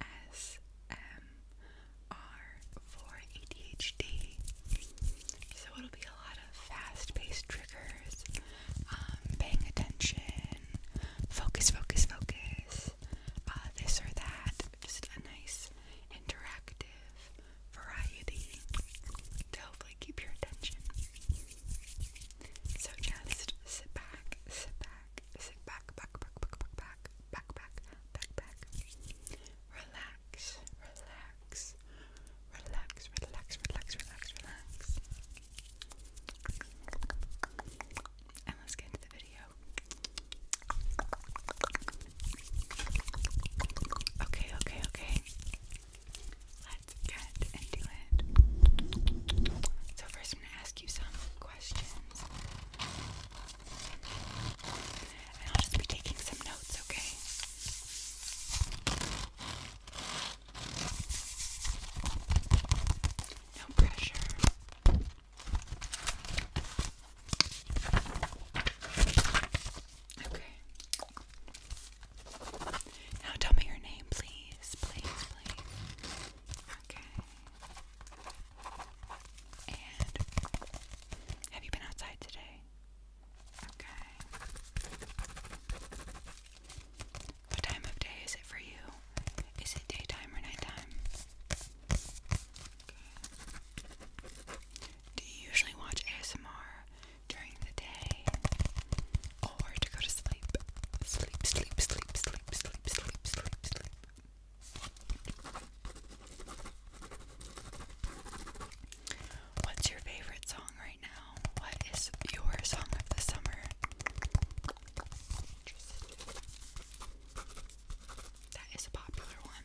ASMR for ADHD. So it'll be a lot of fast-paced triggers, um, paying attention, focus, focus, focus, uh, this or that. Just a nice interactive variety to hopefully keep your attention. So just sit back, sit back, sit back, back, back, back, back, back, back, back, back, back. Relax, relax, relax, relax, relax, relax, relax. And let's get into the video. Okay, okay, okay. Let's get into it. So first going to ask you some questions. And I'll just be taking some notes, okay? No pressure. Okay. Now tell me your name, please. Please, please. Okay have you been outside today? Okay. What time of day is it for you? Is it daytime or nighttime? Do you usually watch ASMR during the day? or to go to sleep. Sleep, sleep, sleep, sleep, sleep, sleep, sleep, sleep. What's your favorite song right now? What is your song of the summer? That is a popular one.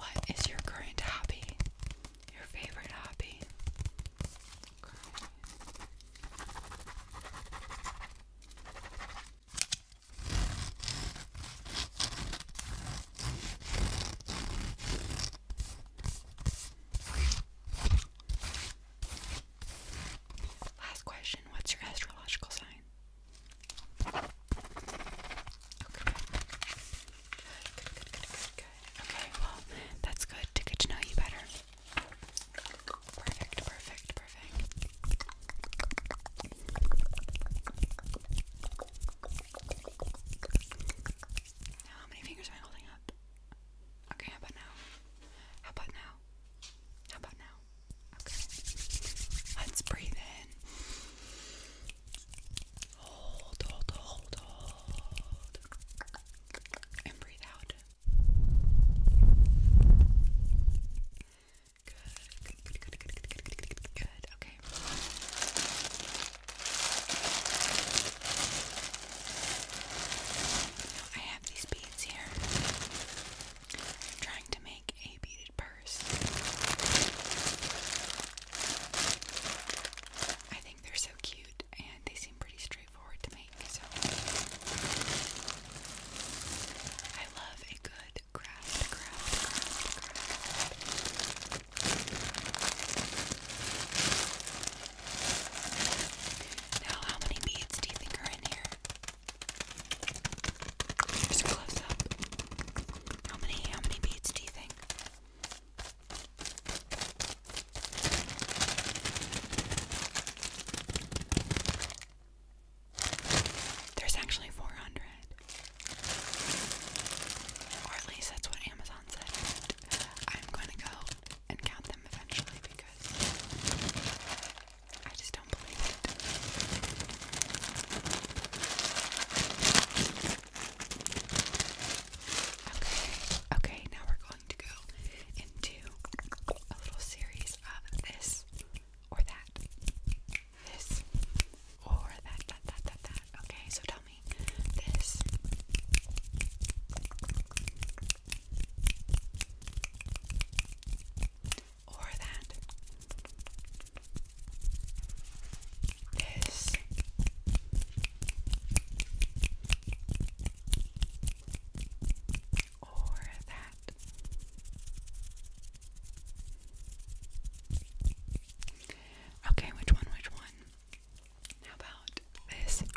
What is your current hobby? Your favorite hobby? Last question, what's your astrological sign? Okay, well, that's good to get to know you better. Perfect, perfect, perfect. how many fingers am I holding up? Okay, how about now? How about now? How about now? Okay. Let's breathe in. Hold, hold, hold, hold. And breathe out. Good, good, good, good, good, good, good, good, Okay. I have these beads here. trying to make a beaded purse. I think they're so cute and they seem pretty straightforward to make. So I love a good craft, craft, craft, craft. Now, how many beads do you think are in here? Here's a close up. How many, how many beads do you think? There's actually 400. Or at least that's what Amazon said. I'm going to go and count them eventually because I just don't believe it. Okay, okay, now we're going to go into a little series of this or that. This or that, that, that, that, that. Okay, so tell me this. Or that. This or that. Okay, which one? Which one? How about this? Or that.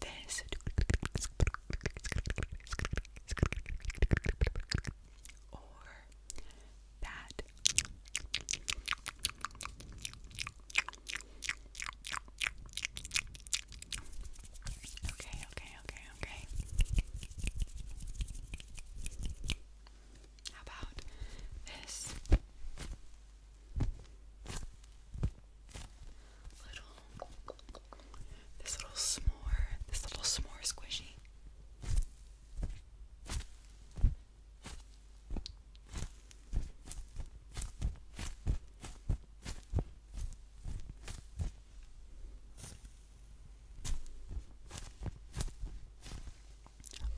This or that. Okay, okay, okay, okay about this little this little s'more, this little s'more squishy?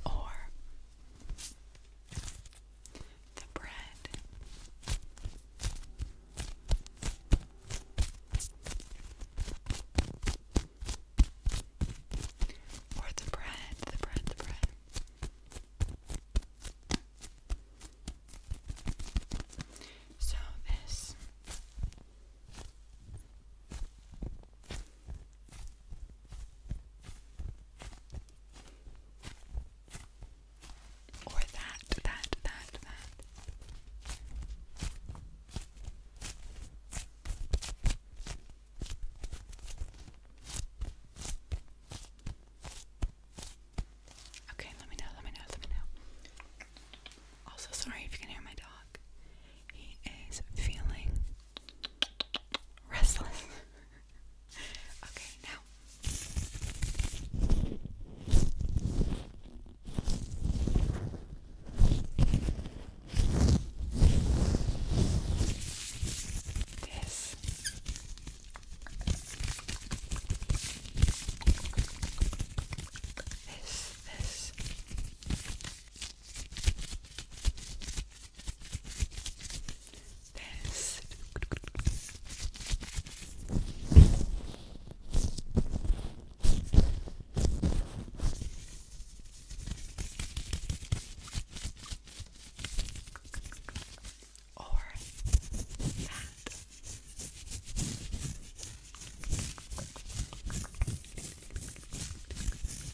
or the bread. Or the bread, the bread, the bread. So this or that, that, that, that. Okay, let me know, let me know, let me know. Also, sorry if you can hear my dog. He is feeling Restless. okay, now. This. This, this, this. Or that.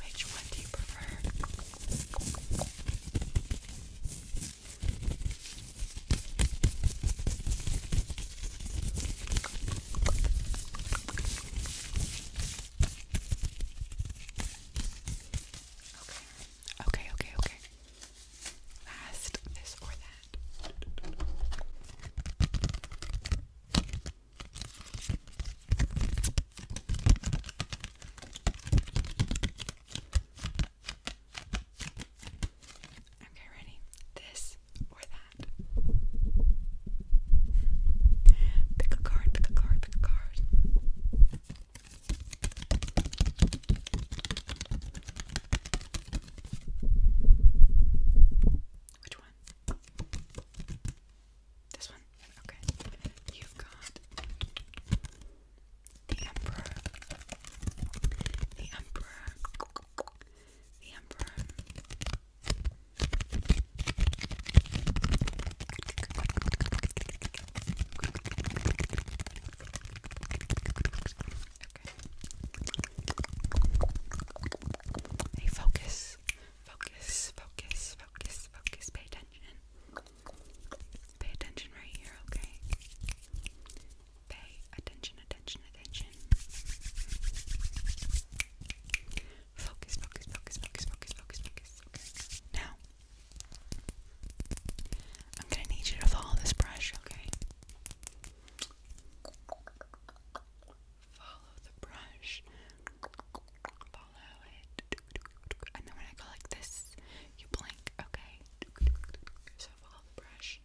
Which one do you prefer? Okay, okay, okay, okay. Last, this or that. Okay, ready? This or that? Pick a card, pick a card, pick a card. Which one? This one? Okay. You've got the Emperor. The Emperor. The Emperor. Okay. Hey, focus, focus, focus, focus, focus. Pay attention. Pay attention right here, okay? Pay attention, attention, attention. Focus, focus, focus, focus, focus, focus, focus. Okay. Now, I'm gonna need you to follow this brush, okay? Follow the brush. Follow it. And then when I go like this, you blink, okay? So follow the brush.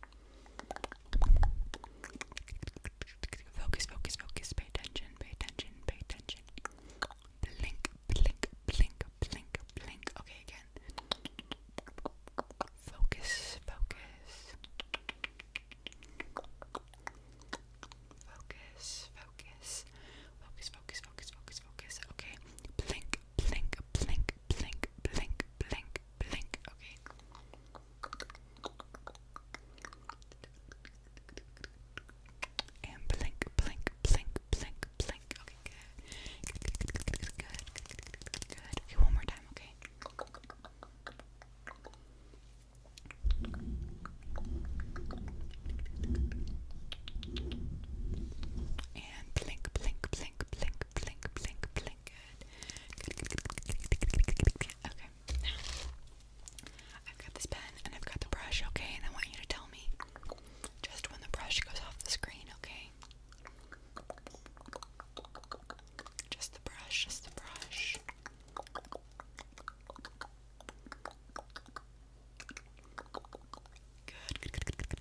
Focus, focus, focus. Pay attention, pay attention, pay attention. Blink, blink, blink, blink, blink. Okay, again. Focus, focus. Focus, focus, focus, focus, focus, focus, focus. Okay, blink, blink, blink, blink, blink, blink, blink. Okay. And blink, blink, blink, blink, blink. Okay, good. Good, good, good, good, good, good, good. Okay, one more time. Okay. And blink, blink, blink, blink, blink, blink, blink. Okay. Now, I've got this pen and I've got the brush, okay? And I want you to tell me just when the brush goes off the screen, okay? Just the brush, just the brush. Good, good, good, good, good, good, good, good, okay. Good, good, good,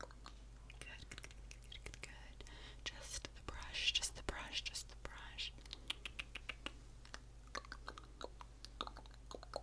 good, good. Just the brush, just the brush, just the brush. Good,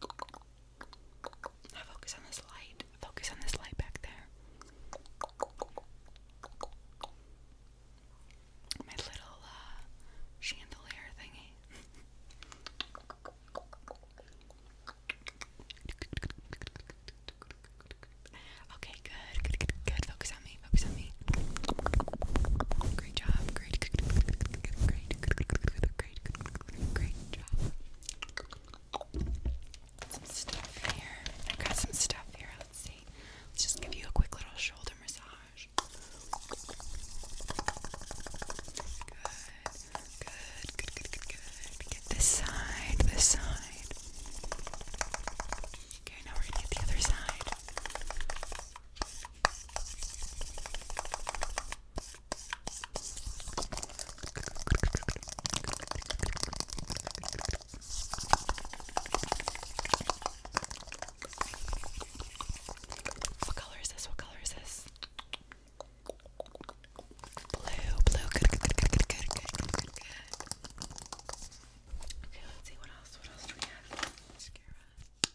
focus on this light. Focus on this light back there. My little chandelier thingy. okay, good, good, good, Focus on me. Focus on me. Great job. Great great, great, job. Some stuff here. i got some stuff here. Let's see. Let's just give you a quick little shoulder massage. Good, good, good, good, good, good. this side, this side. Okay, now we're gonna get the other side. What color is this? What color is this? Blue, blue, good, good, good, good, good, good, good, good, good. Okay, let's see what else. What else do we have? Mascara.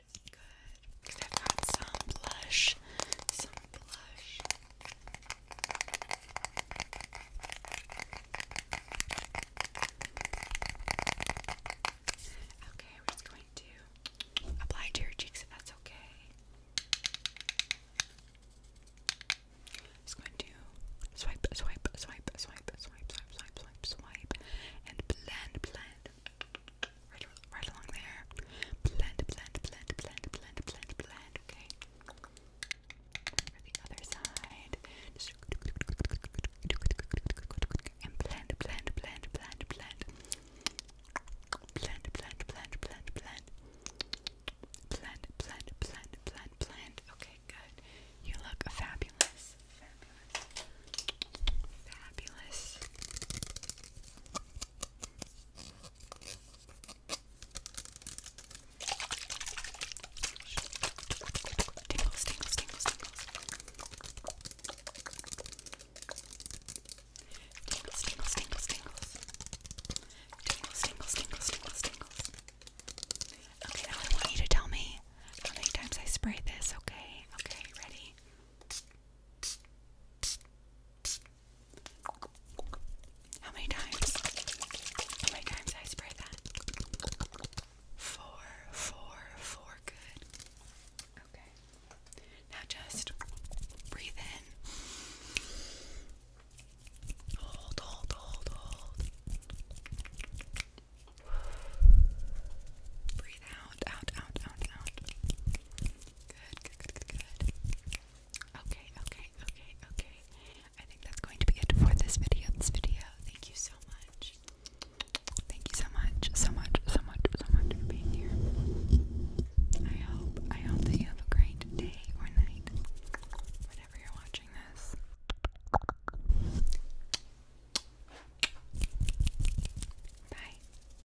good. Cause I've got some blush, some blush. Okay, we're just going to apply to your cheeks if that's okay. Just going to swipe, swipe, swipe, swipe, swipe, swipe, swipe, swipe, swipe, and blend, blend. Right, along there. Blend, blend, blend, blend, blend, blend, blend. Okay. For the other side. and blend, blend, blend. Blend, blend, blend, blend, blend. Blend, blend, blend, blend, blend. Okay, good. You look fabulous. Fabulous. Fabulous. Tingles, tingles, tingles, tingles. Tingles, tingles, tingles, tingles. Tingles, tingles, tingles, tingles, tingles. Okay, now I want you to tell me how many times I spray this, okay? Okay, ready? How many times? How many times I spray that? Four, four, four, good. Okay. Now just breathe in. Hold, hold, hold, hold. Breathe out, out, out, out, out. Good, Okay, okay, okay, okay. I think that's going to be it for this video. This video. Thank you so much. Thank you so much, so much, so much, so much for being here. I hope, I hope that you have a great day or night, whenever you're watching this. Bye.